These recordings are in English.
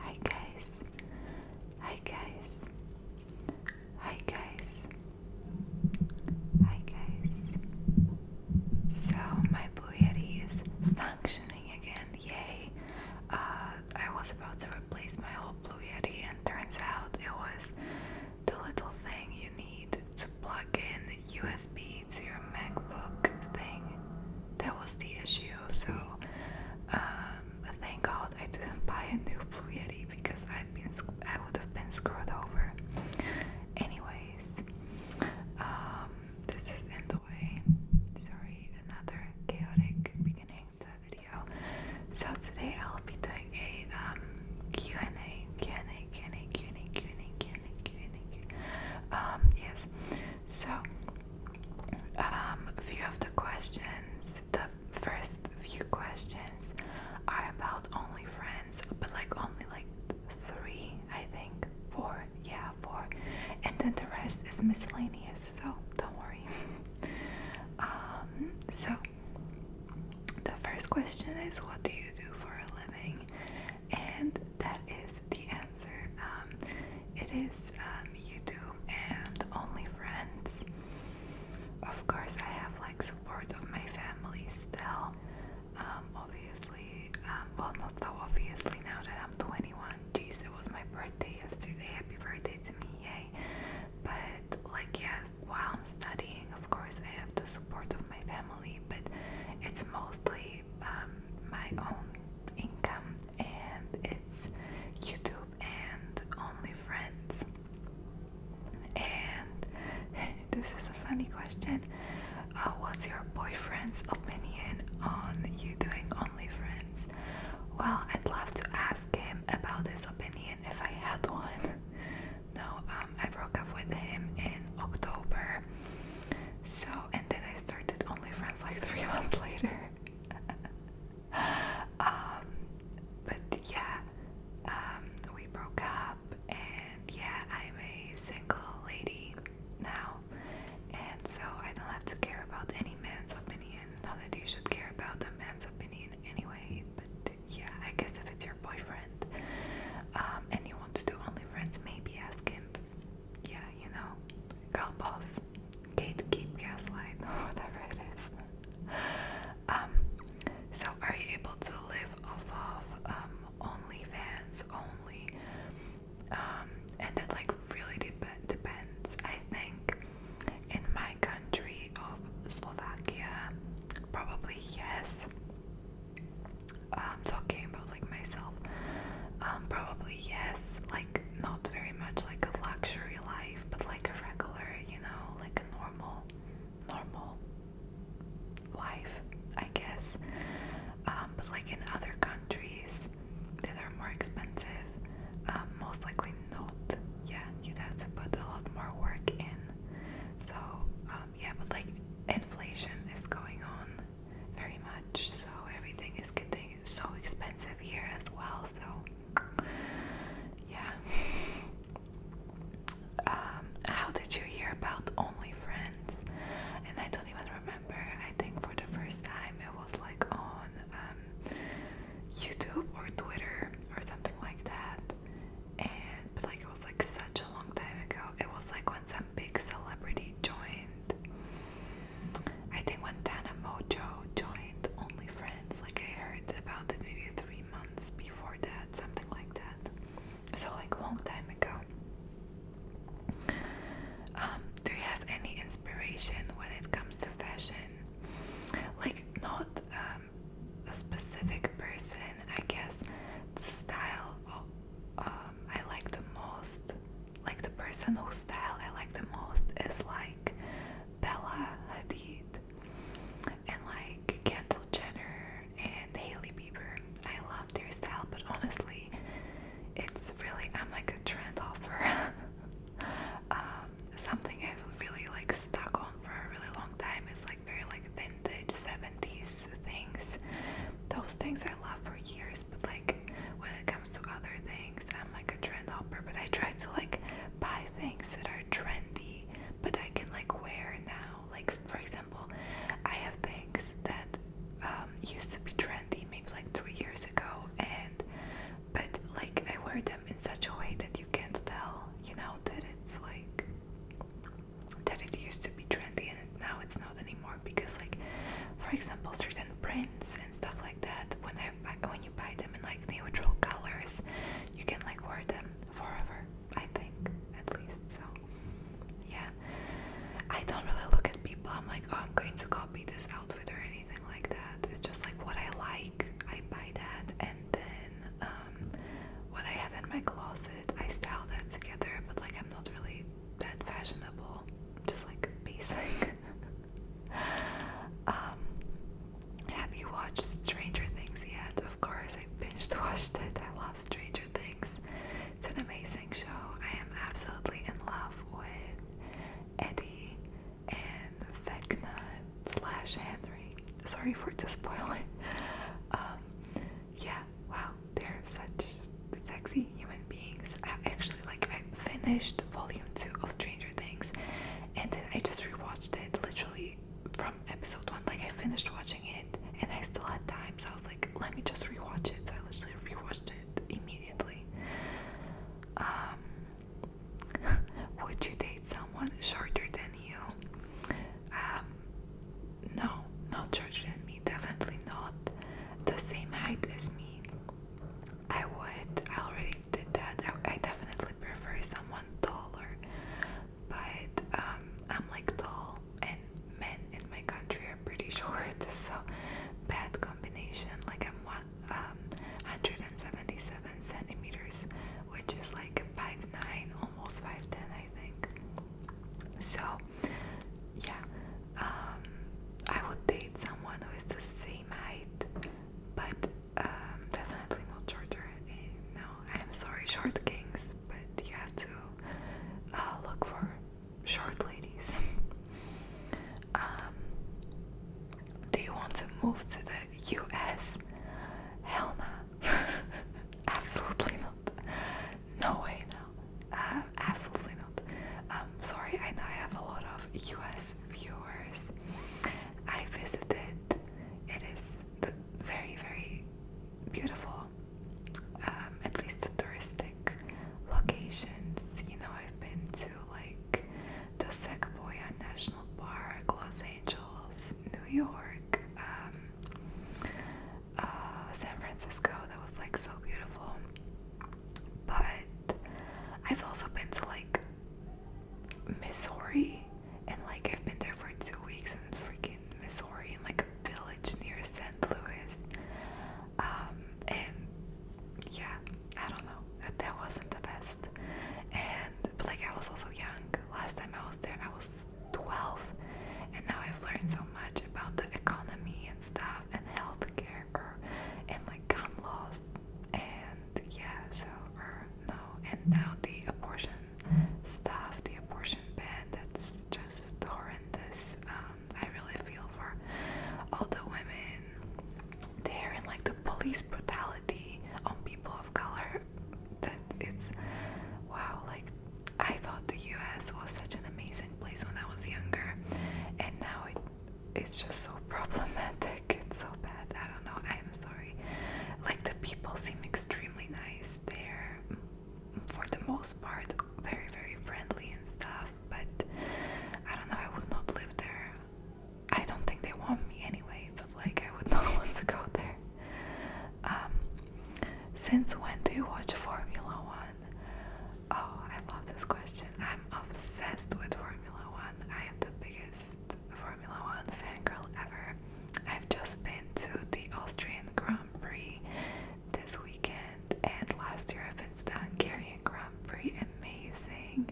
Hi guys. Hi guys. Hi guys. Hi guys. So my Blue Yeti is functioning again. Yay. Uh, I was about to replace my old Blue Yeti and turns out it was the little thing you need to plug in USB to your MacBook thing. That was the issue. So, um, thank God I didn't buy a new Blue Yeti because I'd been I would have been screwed over. Anyways, um, this is the way. Sorry, another chaotic beginning to the video. So today I'll be doing a Q&A, Q&A, Q&A, Q&A, Q&A, Q&A, thank you, thank you. Um, yes. So, um, a few of the questions, the first few questions are about OnlyFriends, but like only like three, I think, four, yeah, four, and then the rest is miscellaneous. So don't worry. Um, so the first question is, what do you do for a living? And that is the answer. Um, it is um, you do and only friends. Of course, I have like support of my family still. Um, obviously, well, not so obviously now that I'm 21. Jeez, it was my birthday yesterday. Happy birthday to me, yay! But like, yeah, while I'm studying, of course, I have the support of my family, but it's mostly um, my own income, and it's YouTube and OnlyFriends. And this is a funny question. Uh, what's your boyfriend's opinion on you doing only friends? Well, I'd love to ask him about his opinion if I had one. no, um, um, I broke up with him in October. So, and then I started only friends like three months later. Um, but yeah, um, we broke up, and yeah, I'm a single lady now, and so I don't have to care about any man's opinion. Not that you should care about a man's opinion anyway, but yeah, I guess if it's your boyfriend um, and you want to do OnlyFriends, maybe ask him. Yeah, you know, girl boss, gatekeep, gaslight, whatever it is. Um, so are you able to live off of um, OnlyFans only? Um, and that like really depends. I think in my country of Slovakia, probably yes um, talking about like myself? Um, probably yes. Like not very much like a luxury life, but like a regular, you know, like a normal, normal life, I guess. Um, but like in other countries that are more expensive, um, most likely not. Yeah, you'd have to put a lot more work in. So um, yeah, but like inflation is going on very much, so everything is getting so expensive here as well. So, yeah. Um, how did you hear about OnlyFriends? And I don't even remember. I think for the first time it was like on um, YouTube or Twitter or something like that. And like it was like such a long time ago. It was like when big celebrity joined. I think when Dana Mojo joined Friends. like I heard about it maybe three months before that, something like that. So like a long time ago. Um, do you have any inspiration when it comes to fashion? Like not um, a specific person, I guess. style um, I like the most, like the person whose style I like the most is like Bella Hadid and like Kendall Jenner and Haley Bieber. I love their style, but honestly, it's really I'm like a trend hopper. Um, something I've really like stuck on for a really long time is like very like vintage 70s things. Those things I love for years, but like when it comes to other things, I'm like a trend hopper. But I try to like buy things that are trendy, but I can like wear now. Like for example, I have things that um, used to be trendy maybe like three years ago, and but like I wear them in such a way that you can't tell, you know, that it's like that it used to be trendy and now it's not anymore because like for example certain prints and stuff like that when I buy, when you buy them in like neutral colors you can like wear them forever I think at least so yeah I don't really look at people I'm like oh I'm going to copy this outfit or anything like that it's just like what I like I buy that and then um, what I have in my closet. I style that together, but like I'm not really that fashionable. just like basic. Um, have you watched Stranger Things yet? Of course, I binge watched it. I love Stranger Things. It's an amazing show. I am absolutely in love with Eddie and Vecna slash Henry. Sorry for the spoiling. Um, yeah, wow, they're such sexy human beings. I actually like I finished volume two of Stranger Things and then I just rewatched it literally from episode one. Like I finished watching it and I still had time, so I was like, let me just rewatch it. So I literally rewatched it immediately. Um, would you date someone shorter than you? Um, no, not shorter than me, definitely not the same height as me. I would, I already did that. I, definitely prefer someone taller, but um, I'm like tall, and men in my country are pretty short, so bad combination. Like, I'm 177 um, centimeters, which is like 5'9, almost 5'10, I think. So, yeah, um, I would date someone who is the same height, but um, definitely not shorter. Eh, no, I'm sorry, short kings, but you have to uh, look for short ladies. Um, do you want to move to the US? Hell no. Absolutely not. No way, no. Um, absolutely not. Um, sorry, I know I have a lot of US viewers. I visited, it is the very, very beautiful, um, at least the touristic locations. You know, I've been to like the Sequoia National Park, Los Angeles, New York. Um, uh, San Francisco that was like so beautiful. But I've also been to like Missouri and like I've been there for two weeks in freaking Missouri in like a village near St. Louis. Um, and yeah, I don't know. That wasn't the best. And like I was also young. Last time I was there I was 12 and now I've learned so much about the economy and stuff and healthcare er, and like gun laws and yeah so er, no and now the abortion stuff the abortion ban that's just horrendous um, I really feel for all the women there and like the police brutality on people of color that it's wow like I thought the US was such an amazing place when I was younger, and now it it's just so problematic. It's so bad. I don't know. I am sorry. Like the people seem extremely nice. They're for the most part very very friendly and stuff, but I don't know. I would not live there. I don't think they want me anyway, but like I would not want to go there. Um, since when do you watch Formula One? Oh, I love this question. I'm obsessed with Formula One. I am the biggest Formula One fan girl ever. I've just been to the Austrian Grand Prix this weekend, and last year I've been to the Hungarian Grand Prix. Amazing.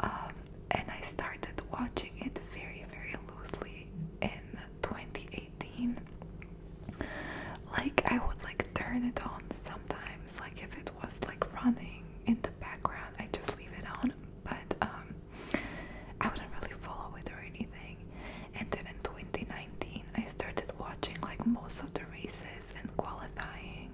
Um, and I started watching it very, very loosely in 2018 like i would like turn it on sometimes like if it was like running in the background i just leave it on but um i wouldn't really follow it or anything and then in 2019 i started watching like most of the races and qualifying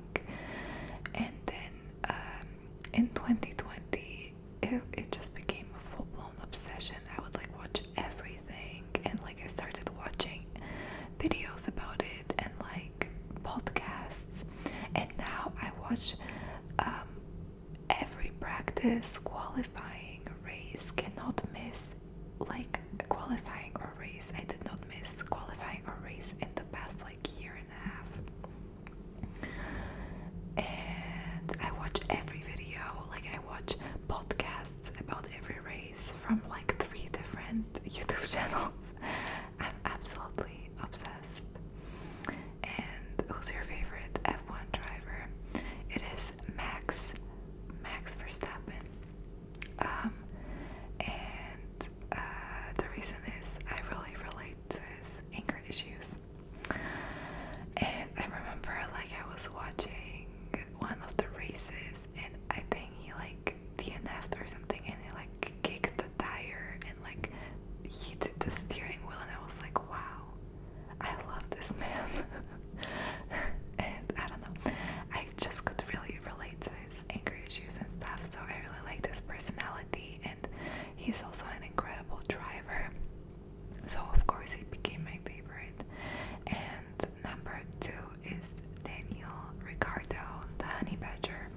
and then um, in 2020 it, it just became a full obsession. I would like watch everything and like I started watching videos about it and like podcasts and now I watch um, every practice, qualifying, race, cannot miss like qualifying or race. I did not miss qualifying or race in the past like year and a half. And I watch every video, like I watch podcasts about every race from like three different YouTube channels. I'm absolutely obsessed. And who's your favorite F1 driver? It is Max, Max Verstappen. Um, and uh, the reason is I really relate to his anger issues. And I remember, like, I was watching one of the races and I think he like DNF'd or something and he like kicked the tire and like heated the steering wheel and I was like wow I love this man and I don't know I just could really relate to his anger issues and stuff so I really liked his personality and he's also an incredible driver so, of course, it became my favorite. And number two is Daniel Ricardo, the honey badger.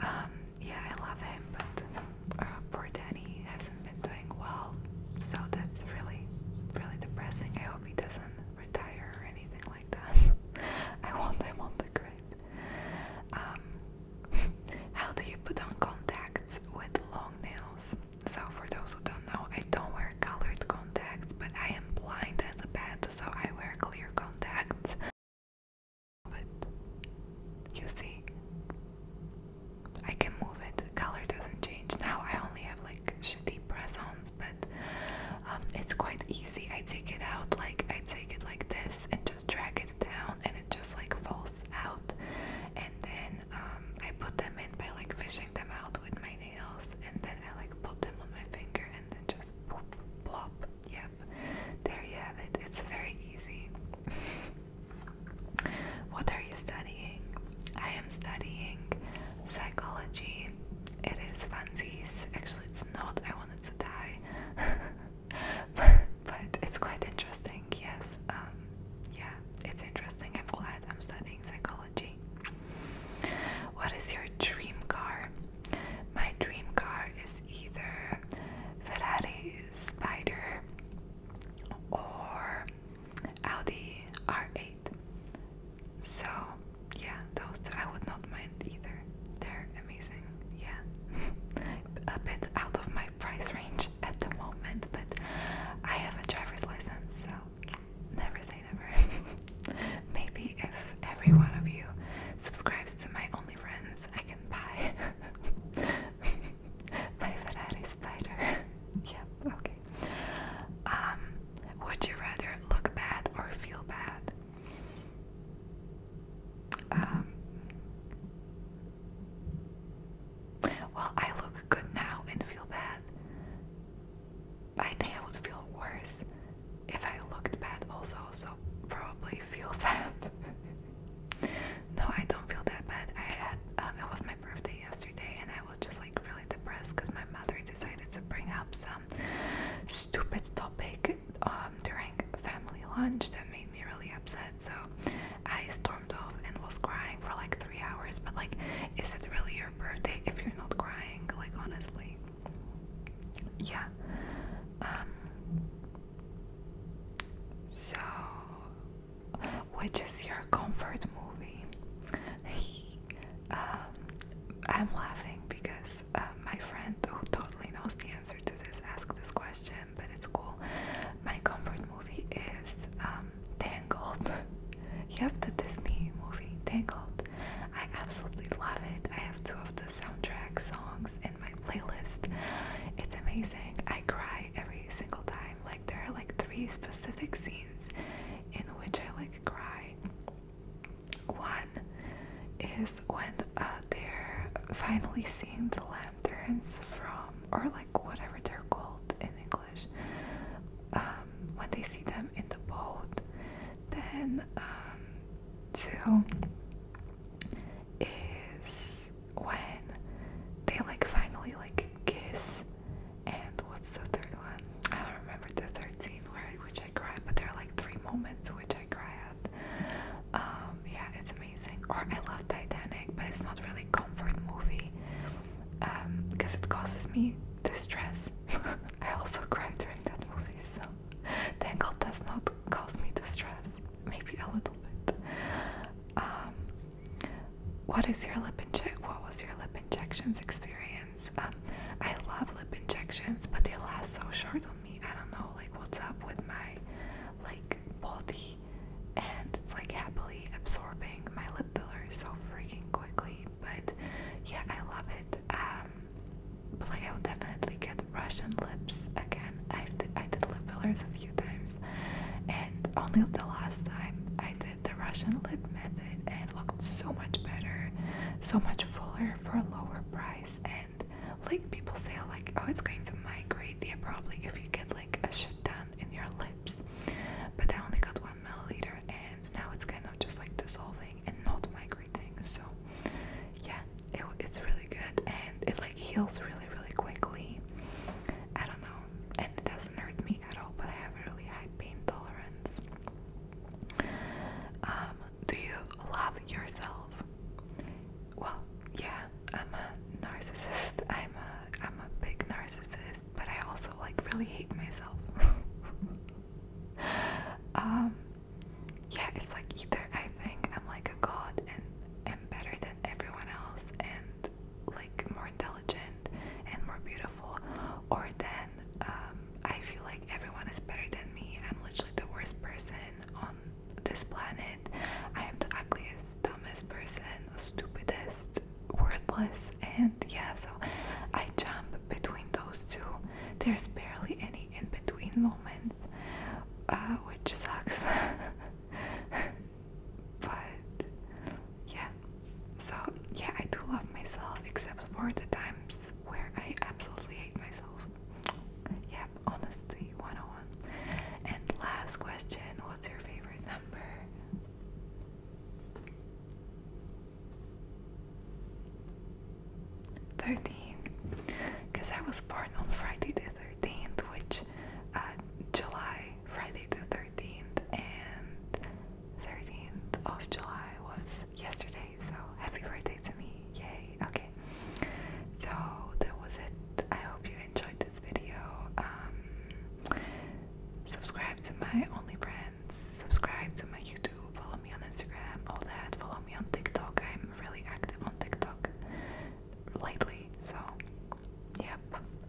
Um, yeah, I love him, but uh, poor Danny hasn't been doing well. So, that's really, really depressing. I hope he doesn't retire or anything like that. I want him on the grid. Um, how do you put on contacts with long nails? So for those who don't know, I don't wear colored contacts, but I am blind as a bat, so I wear clear contacts. But you see, I can move it. the Color doesn't change now. I only have like shitty press-ons, but um, it's quite easy. I take it out like I take it like this and just drag it down, and it just like falls out. And then um, I put them in by like fishing them out with my nails, and then I like put them on my finger, and then just poop, plop. Yep, there you have it. It's very easy. what are you studying? I am studying psychology. It is funsies. Actually, it's not. I wanted to die, but it's quite interesting. Yes. Um. Yeah it's interesting. I'm glad I'm studying psychology. What is your dream car? My dream car is either Ferrari Spider or Audi R8. So, yeah, those two I would not mind either. They're amazing, yeah. a bit out of my price range at the moment, but I have a driver's license, so, never say never. Maybe if every one of you subscribes to my only friends, I can buy my Ferrari spider. yep, okay. Um, would you rather look bad or feel bad? Um, well, I look good now and feel bad. I think I would feel worse if I looked bad also, so probably feel bad. no, I don't feel that bad. I had, um, it was my birthday yesterday and I was just like really depressed because my mother decided to bring up some stupid topic um, during family lunch that made me really upset. So I started and was crying for like three hours. But like, is it really your birthday if you're not crying? Like, honestly, yeah. Um, so, which is your comfort movie? Um, I'm laughing because uh, my friend who totally knows the answer to this asked this question, but it's cool. My comfort movie is um, um, Tangled. yep, the Disney movie Tangled. I absolutely love it. I have two of the soundtrack songs in my playlist. It's amazing. I cry every single time. Like there are like three specific scenes in which I like cry. One is when uh, they're finally seeing the lanterns from, or like whatever they're called in English, um, when they see them in the boat, then two um, is when they like finally like kiss, and what's the third one? I don't remember the third scene where which I cry. but there are like three moments which I cry at. Um, yeah, it's amazing. Or I love Titanic, but it's not really comfort movie um, because it causes me distress. I also cried during that movie, so Tangled does not cause me distress. Maybe a little bit. Um, what is your lip injection? What was your lip injections experience? Um, I love lip injections, but they last so short on me. I don't know, like what's up with my like body and it's like happily absorbing my lip fillers so freaking quickly. But yeah, I love it. Um, but like I will definitely get Russian lips again. I've d i have I did lip fillers a few times, and only the last time I did the Russian lip method, and it looked so much better, so much fuller for a lower price. And like people say, like oh, it's going to migrate. Yeah, probably if you get like a shit done in your lips. But I only got one milliliter, and now it's kind of just like dissolving and not migrating. So yeah, it, it's really good, and it like heals really, really quickly. I don't know, and it doesn't hurt me at all. But I have really high pain tolerance. Um, do you love yourself? Well, yeah, I'm a narcissist. I'm a I'm a big narcissist but I also like really hate myself. Um, yeah, it's like either I think I'm like a god and am better than everyone else and like more intelligent and more beautiful, or then um, I feel like everyone is better than me. I'm literally the worst person on this planet. I am the ugliest dumbest person, stupidest, worthless, and yeah, so I jump between those two. There's barely any in between moments, uh, which sucks. but yeah, so yeah, I do love myself, except for the times where I absolutely hate myself. Yep, honesty 101. And last question what's your favorite number? 13 because I was born on Friday the 13th which uh, July Friday the 13th and 13th of July was yesterday so happy birthday to me yay okay so that was it I hope you enjoyed this video. Um, subscribe to my OnlyFriends, subscribe to my YouTube, follow me on Instagram, all that. Follow me on TikTok. I'm really active on TikTok lately. So, yep.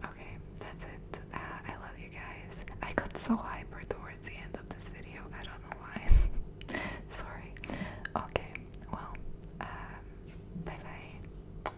Okay, that's it. Uh, I love you guys. I got so hyper towards the end of this video. I don't know why. Sorry. Okay, well, um, bye bye.